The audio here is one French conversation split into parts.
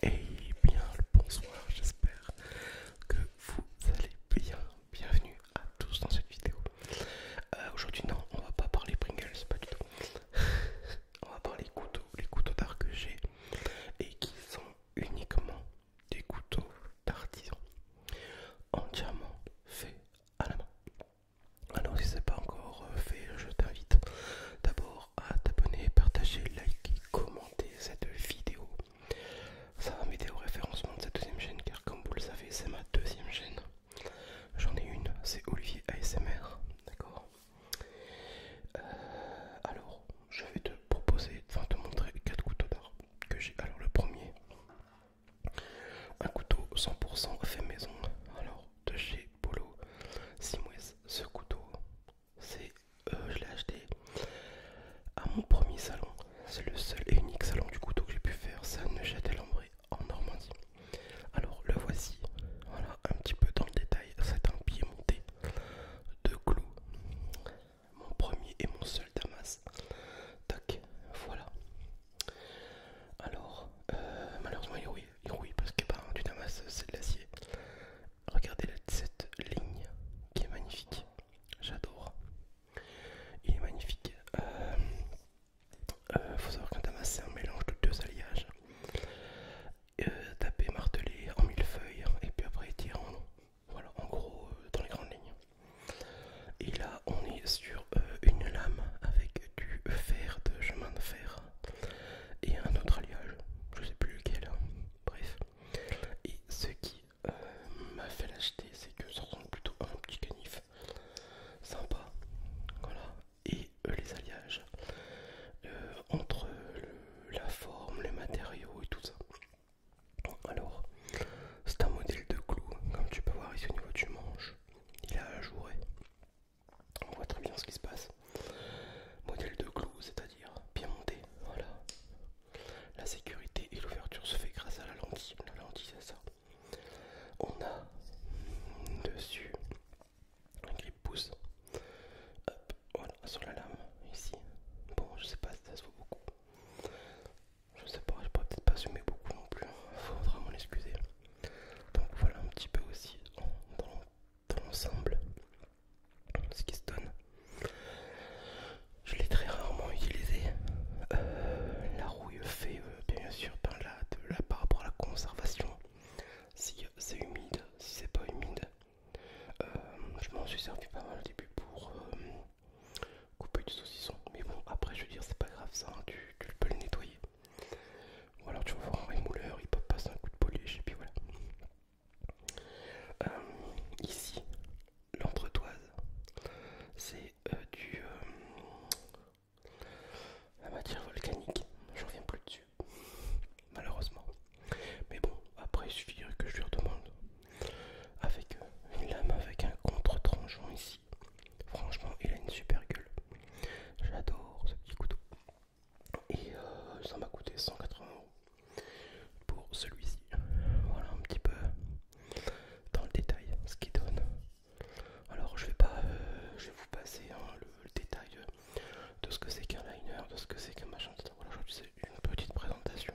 Et eh bien le bonsoir, j'espère que vous allez bien. Bienvenue à tous dans cette vidéo. Euh, aujourd'hui non, on va pas parler Pringles, pas du tout. on va parler couteaux, les couteaux d'art que j'ai et qui sont uniquement des couteaux d'artisan en diamant fait à Alors si ce n'est pas encore euh, fait, je t'invite d'abord à t'abonner, partager, liker, commenter cette vidéo. Ça va m'aider au référencement de cette deuxième chaîne car comme vous le savez c'est ma deuxième chaîne. J'en ai une, c'est Olivier ASMR, d'accord euh, Alors je vais te proposer, enfin te montrer quatre couteaux d'art que j'ai. Alors le premier, un couteau 100% fait maison. Alors, de chez Polo Simwes, ce couteau, c'est euh, je l'ai acheté à mon premier salon. C'est le seul et unique salon du couteau que j'ai pu faire, ça ne neuchâtel en en Normandie. Alors le voici, voilà un petit peu dans le détail, c'est un pied monté de clous. Mon premier et mon seul Damas. Tac, voilà. Alors, euh, malheureusement il rouille, parce que ben, tu du damas c'est de l'acier. Regardez cette ligne qui est magnifique, j'adore. Il est magnifique. il euh, euh, faut savoir qu'un damas c'est un mélange de deux alliages. taper, marteler en mille feuilles et puis après tirer en Voilà, en gros, dans les grandes lignes. Et là, on est sur euh, une lame avec du fer de chemin de fer et un autre alliage, je sais plus lequel, hein. bref. Et ce qui euh, m'a fait l'acheter, c'est que ça ressemble plutôt à un petit canif sympa, voilà. Et euh, les alliages entre la forme, les matériaux et tout ça. Alors, c'est un modèle de clou, comme tu peux voir ici au niveau du manche, il a ajouré. On voit très bien ce qui se passe. Modèle de clou, c'est-à-dire bien monté. Voilà. La sécurité et l'ouverture se fait grâce à la lentille. La lentille, c'est ça. On a dessus un grip pouce. voilà, sur la lame ici. Bon, je sais pas si ça se voit beaucoup. Je sais pas, je pourrais peut-être pas assumer beaucoup non plus. Faudra m'en excuser. Donc voilà un petit peu aussi dans, l'ensemble ce qui se donne. Je l'ai très rarement utilisé. Euh, la rouille fait euh, bien sûr par, de par rapport à la conservation. Si euh, c'est humide, si c'est pas humide. je m'en suis servi pas mal au début pour couper du saucisson. Mais bon, après, je veux dire, c'est pas grave ça, hein, tu, peux le nettoyer. Ou alors tu vas voir un rémouleur, il peut passer un coup de polish et puis voilà. Euh, ici, l'entretoise, c'est euh, du. Euh, la matière volcanique, je reviens plus dessus, malheureusement. Mais bon, après, il suffit que je lui redemande avec une lame, avec un contre-tranchant ici. Franchement, il a une super gueule. J'adore ce petit couteau. Et euh, ça m'a coûté 180 euros pour celui-ci. Voilà un petit peu dans le détail ce qu'il donne. Alors je vais pas, euh, je vais vous passer hein, le, détail de ce que c'est qu'un liner, de ce que c'est qu'un machin. Voilà, je c'est une petite présentation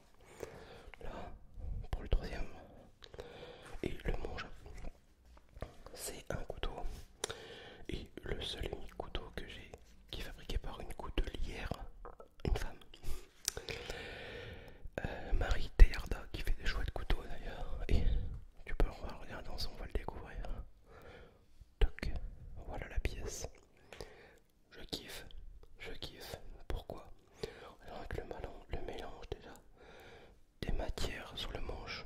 là pour le troisième et le monge, c'est un couteau et le seul et unique couteau que j'ai qui est fabriqué par une coutelière une femme euh, Marie Teyarda qui fait des chouettes couteaux d'ailleurs et tu peux regarder on va le découvrir Toc. voilà la pièce je kiffe, je kiffe. Pourquoi Avec le, le mélange déjà des matières sur le manche.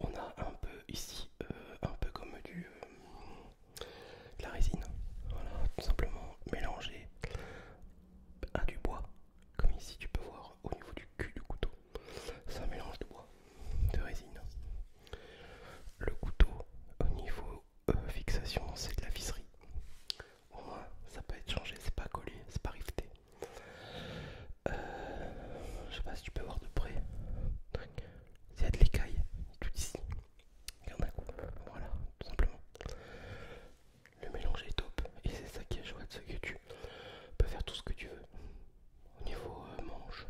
On a un peu ici, euh, un peu comme du euh, de la résine. Voilà, tout simplement mélangé à du bois. Comme ici, tu peux voir au niveau du cul du couteau. C'est un mélange de bois, de résine. Le couteau au niveau euh, fixation, c'est de la visserie. Au moins, ça peut être changé, c'est pas collé, c'est pas riveté. Euh, je sais pas si tu peux voir de près. Il y a de l'écaille, tout ici. voilà, tout simplement. Le mélange est top et c'est ça qui est chouette, ce que tu peux faire tout ce que tu veux. Au niveau euh, manche,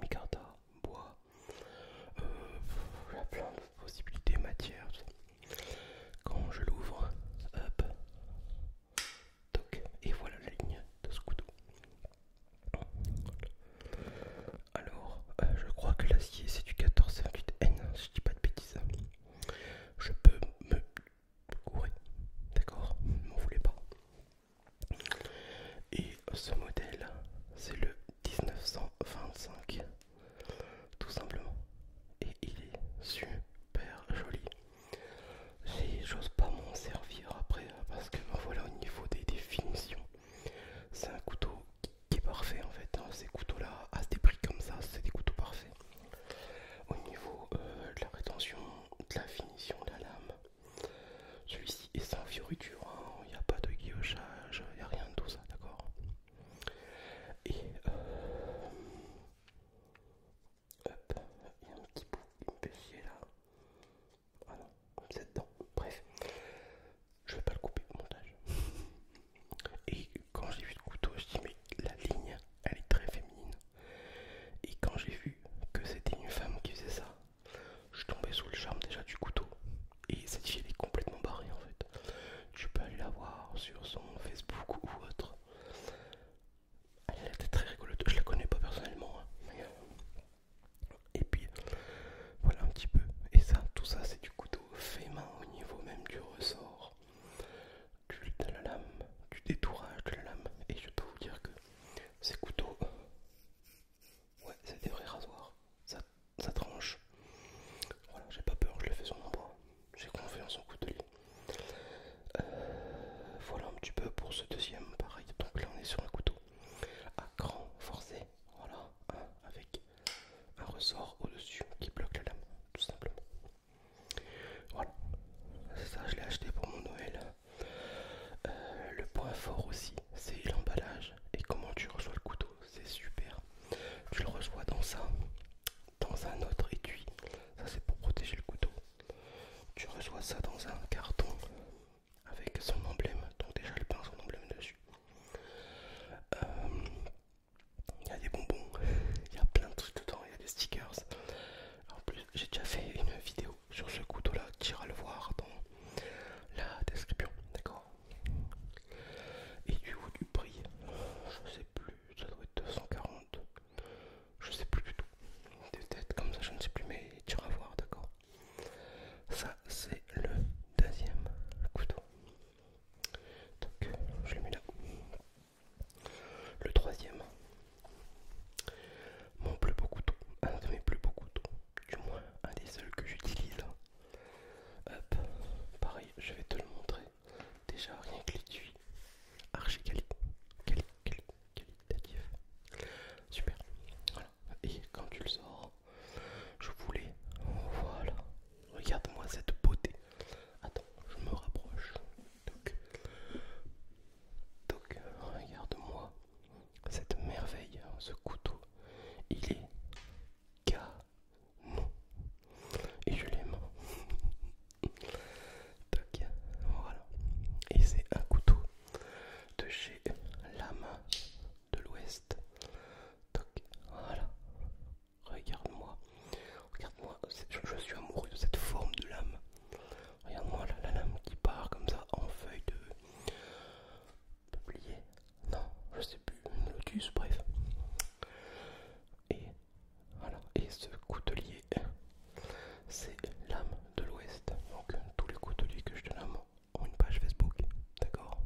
micarta, bois, il y a plein de possibilités, matières. Quand je l'ouvre, hop, et voilà la ligne de ce couteau. Alors, euh, je crois que l'acier c'est du 1458N, si je dis pas de bêtises. Je peux me courir, d'accord, m'en voulez pas ce modèle, c'est le 1925, tout simplement. Et il est super joli. J'ose pas m'en servir après hein, parce que voilà au niveau des définitions, c'est un couteau qui est parfait en fait. Hein. Ces couteaux-là, à des prix comme ça, c'est des couteaux parfaits. Au niveau euh, de la rétention, de la finition de la lame, celui-ci est sans fioriture, hein. il n'y a pas de guillochage, il n'y a rien de tout ça, d'accord Et euh, hop, il y a un petit bout qui me là. Ah c'est dedans. Bref, je vais pas le couper au montage. Et quand j'ai vu le couteau, je dit mais la ligne, elle est très féminine. Et quand j'ai vu que c'était une femme qui faisait ça, je suis tombé sous le charme déjà du couteau. Et cette fille est complètement barrée en fait. Tu peux aller la voir sur son Facebook ou autre. Elle a très rigolote. Je la connais pas personnellement. Hein, euh, et puis voilà un petit peu. Et ça, tout ça c'est du couteau fait main au niveau même du ressort. Du, de la lame, du détourage de la lame. Et je peux vous dire que ces couteaux... Ouais, c'est des vrais rasoirs ça tranche. Voilà, j'ai pas peur, je l'ai fais sur mon bras. J'ai confiance en son couteau euh, voilà un petit peu pour ce deuxième pareil. Donc là on est sur un couteau à cran forcé. Voilà, avec un ressort au-dessus qui bloque la lame, tout simplement. Voilà, ça je l'ai acheté pour mon Noël. Euh, le point fort aussi, c'est l'emballage et comment tu reçois le couteau c'est super. Tu le reçois dans ça, dans un autre étui. Ça c'est pour protéger le couteau. Tu reçois ça dans un carton avec son emblème, donc déjà le peint son emblème dessus. Euh, il y a des bonbons, il y a plein de trucs dedans, il y a des stickers. En plus, j'ai déjà fait une vidéo sur ce couteau là, tu iras le voir dans la description, d'accord et du haut du prix, je sais plus, ça doit être 240. Je sais plus du tout. Des être comme ça, je ne sais plus, mais tu vas voir, d'accord Ça, c'est le deuxième couteau. Donc, je l'ai mis là. Le troisième, mon plus beau couteau, un de mes plus beaux couteaux, du moins un des seuls que j'utilise, Hop, pareil, je vais te le montrer. Déjà, rien que l'étui, archi quali, quali, qualitatif. Super, voilà. Et quand tu le sors, je voulais. Voilà, regarde-moi cette beauté. Attends, je me rapproche. donc regarde-moi cette merveille, ce couteau. Il est et je l'aime. voilà. Et c'est un couteau de chez Lame de l'Ouest. voilà. Regarde-moi. Regarde-moi. Je, suis amoureux de cette forme de lame. Regarde-moi la lame qui part comme ça en feuille de publié, non, je sais plus, lotus, bref. Et voilà, et ce coutelier, c'est l'âme de l'Ouest. Donc tous les couteliers que je te nomme ont une page Facebook, d'accord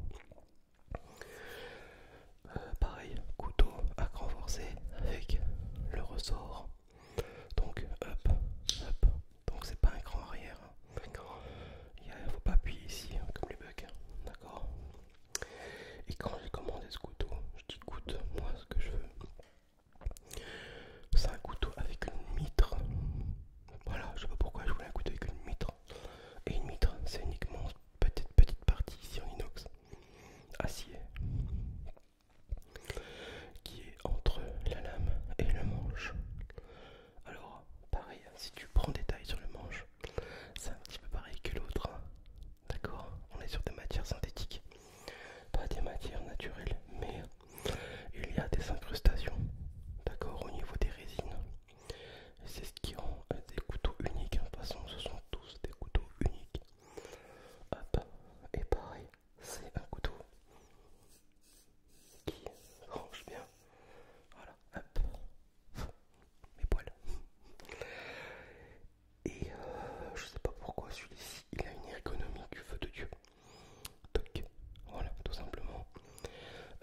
euh, Pareil, couteau à cran forcé avec le ressort. Donc hop, hop. Donc c'est pas un cran arrière, D'accord Il ne faut pas appuyer ici, hein, comme les bugs. Hein. D'accord Et quand j'ai commandé ce couteau, je dis écoute, moi ce que je veux, c'est un couteau avec une mitre. Voilà, je sais pas pourquoi je voulais un couteau avec une mitre. Et une mitre, c'est uniquement petite petite partie ici en inox, acier, qui est entre la lame et le manche. Alors, pareil, hein, si tu prends des tailles sur le manche, c'est un petit peu pareil que l'autre. Hein. D'accord On est sur des matières synthétiques, pas des matières naturelles, mais il y a des incrustations, d'accord, au niveau des résines. C'est ce qui rend euh, des couteaux uniques. Hein. De toute façon, ce sont tous des couteaux uniques. Hop, et pareil, c'est un couteau qui range bien. Voilà, hop, mes poils. Et euh, je sais pas pourquoi celui-ci, il a une ergonomie du feu de Dieu. Donc, voilà, tout simplement.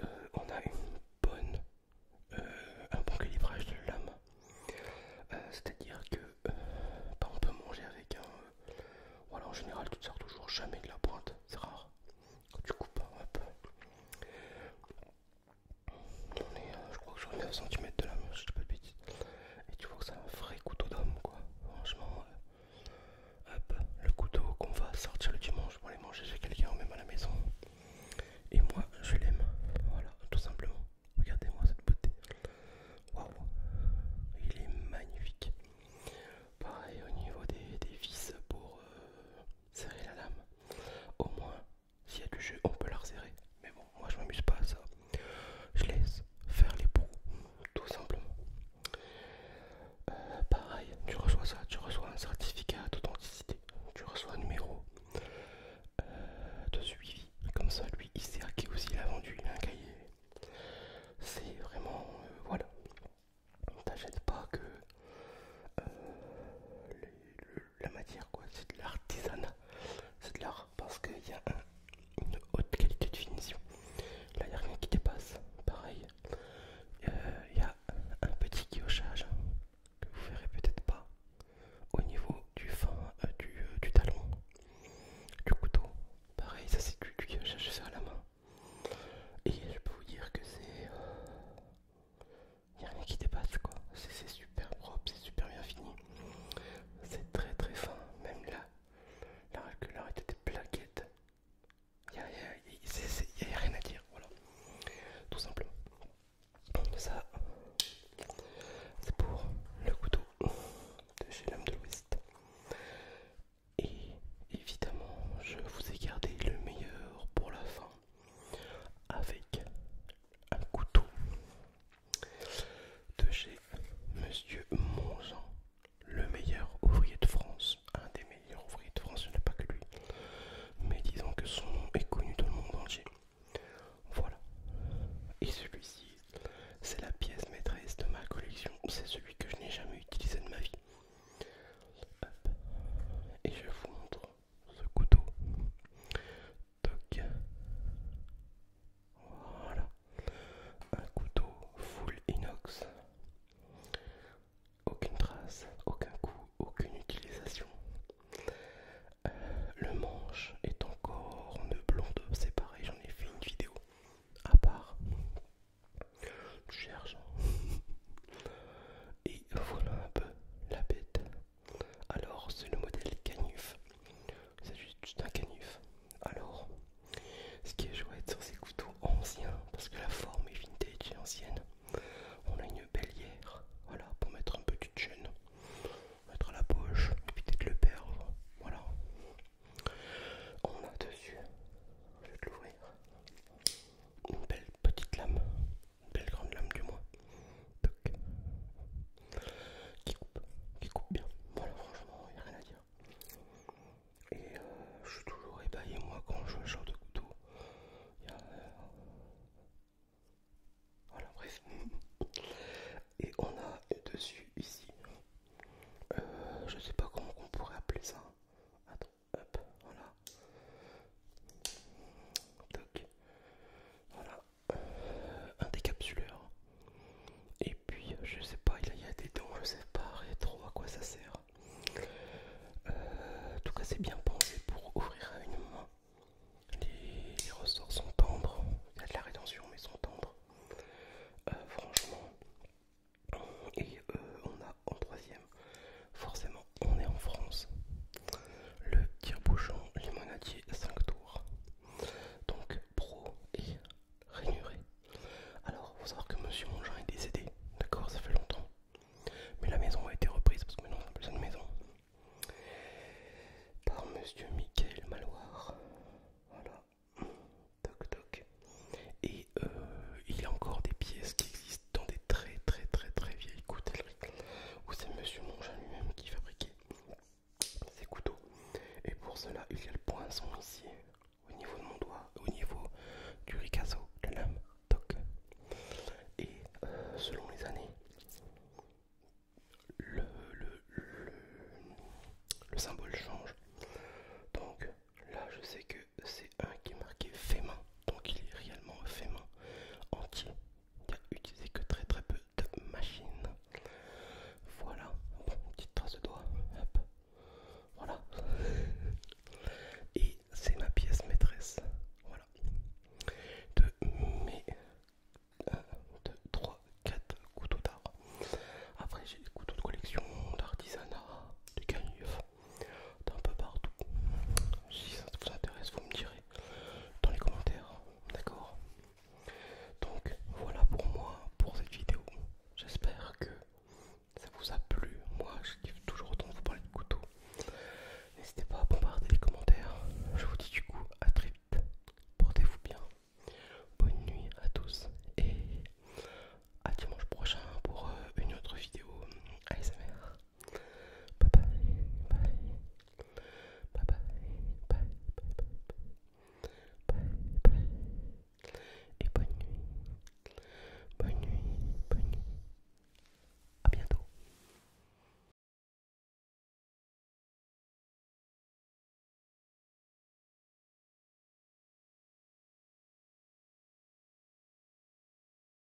Euh, on a une bonne, euh, un bon calibrage de lame. C'est-à-dire que bah, on peut manger avec un... voilà, en général, tu ne sors toujours jamais de la pointe, c'est rare. Quand tu coupes, hop. Euh, je crois que je ai à centimètre de la je pas de Et tu vois que c'est un vrai couteau d'homme, quoi. Franchement, euh, hop, le couteau qu'on va sortir le dimanche pour aller manger chez quelqu'un, même à la maison. Et moi, je l'aime. Voilà, tout simplement. Regardez-moi cette beauté. Waouh, il est magnifique. Pareil au niveau des, vis pour euh, serrer la lame. Au moins, s'il y a du jeu, on peut la resserrer. Mais bon, moi je m'amuse pas à ça. Je laisse faire les pros, tout simplement. Euh, pareil, tu reçois ça, tu reçois un certificat d'authenticité, tu reçois un numéro euh, de suivi. Comme ça, lui, il sait à qui aussi il a vendu, un cahier. C'est vraiment... Euh, voilà t'achètes pas que euh, la matière quoi, c'est de l'artisanat, c'est de l'art parce qu'il y a une haute qualité de finition. Là il n'y a rien qui dépasse, pareil. Il euh, y a un petit guillochage hein, que vous verrez peut-être pas au niveau du fin euh, du, talon, du couteau. Pareil, ça c'est du, guillochage, à la main. Et je peux vous dire que c'est il n'y a rien qui dépasse quoi. C'est super propre, c'est super bien fini. C'est très très fin, même là. La régularité des plaquettes. Il n'y a, rien à dire, voilà. Tout simplement. Ça, c'est pour le couteau de chez l'homme de l'Ouest. Et évidemment, je vous ai gardé le meilleur pour la fin avec un couteau de chez Monsieur Monzan, le meilleur ouvrier de France, un des meilleurs ouvriers de France, je n'est pas que lui, mais disons que son nom est connu dans le monde entier. Voilà. Et celui-ci, c'est la pièce maîtresse de ma collection, c'est celui que je n'ai jamais utilisé de ma vie. Et je vous montre ce couteau. Toc. Voilà. Un couteau full inox. Aucune trace, aucun coup, aucune utilisation. Euh, le manche est encore de blonde, c'est pareil, j'en ai fait une vidéo à part. tu cherches. Et voilà un peu la bête. Alors c'est le modèle canif. C'est juste un canif. Alors, ce qui est chouette sur ces couteaux anciens, parce que la forme est vintage et ancienne, on a une bélière, voilà, pour mettre un petit jeûne, mettre à la poche, éviter de le perdre, voilà. On a dessus, je vais te l'ouvrir, une belle petite lame belle grande lame du moins. Qui coupe, qui coupe bien. Voilà, franchement, il a rien à dire. Et euh, je suis toujours ébahi, moi, quand je vois genre de couteau. Euh, voilà, bref. Et on a dessus, ici, euh, je sais pas comment on pourrait appeler ça hop, voilà. Toc. Voilà. Euh, un décapsuleur. Et puis, euh, je sais pas, il y a des dents, je sais pas trop à quoi ça sert. Euh, en tout cas, c'est bien pensé pour ouvrir à une main. Les, ressorts sont tendres. Il y a de la rétention, mais sont tendres. franchement. Et on a en troisième Forcément, on est en France. Le tire-bouchon limonadier 5 tours. Donc, pro et rainuré. Alors, faut savoir que Monsieur Montjean est décédé, d'accord Ça fait longtemps. Mais la maison a été reprise parce que maintenant on a plus de maison. Par Monsieur Michael Maloir. Voilà. Toc toc. Et euh, il y a encore des pièces qui existent dans des très très très très vieilles coutelleries où c'est Monsieur Mongin lui-même qui fabriquait ces couteaux. Et pour cela, il y a le poinçon ici, au niveau de mon doigt, au niveau du ricasso, de lame, toc. Et euh, selon les années, le, le, symbole change. Donc là, je sais que c'est un qui est marqué donc il est réellement fait main entier. Il n'y a utilisé que très très peu de machines. Voilà, petite trace de doigt. Voilà. Et c'est ma pièce maîtresse. Voilà. De mes 1, 2, 3, 4 couteaux d'art. Après j'ai des couteaux de collection, d'artisanat, de canif d'un peu partout. Si ça vous intéresse, vous me direz dans les commentaires, d'accord Donc voilà pour moi pour cette vidéo. J'espère que ça vous a plu. Moi, je kiffe toujours autant vous parler de couteau. N'hésitez pas à bombarder les commentaires. Je vous dis du coup à très vite. Portez-vous bien. Bonne nuit à tous et à dimanche prochain pour euh, une autre vidéo ASMR. Bye bye. Bye. Bye bye. Bye bye. Bye bye. Et bonne nuit. Bonne nuit. Bonne nuit. À bientôt.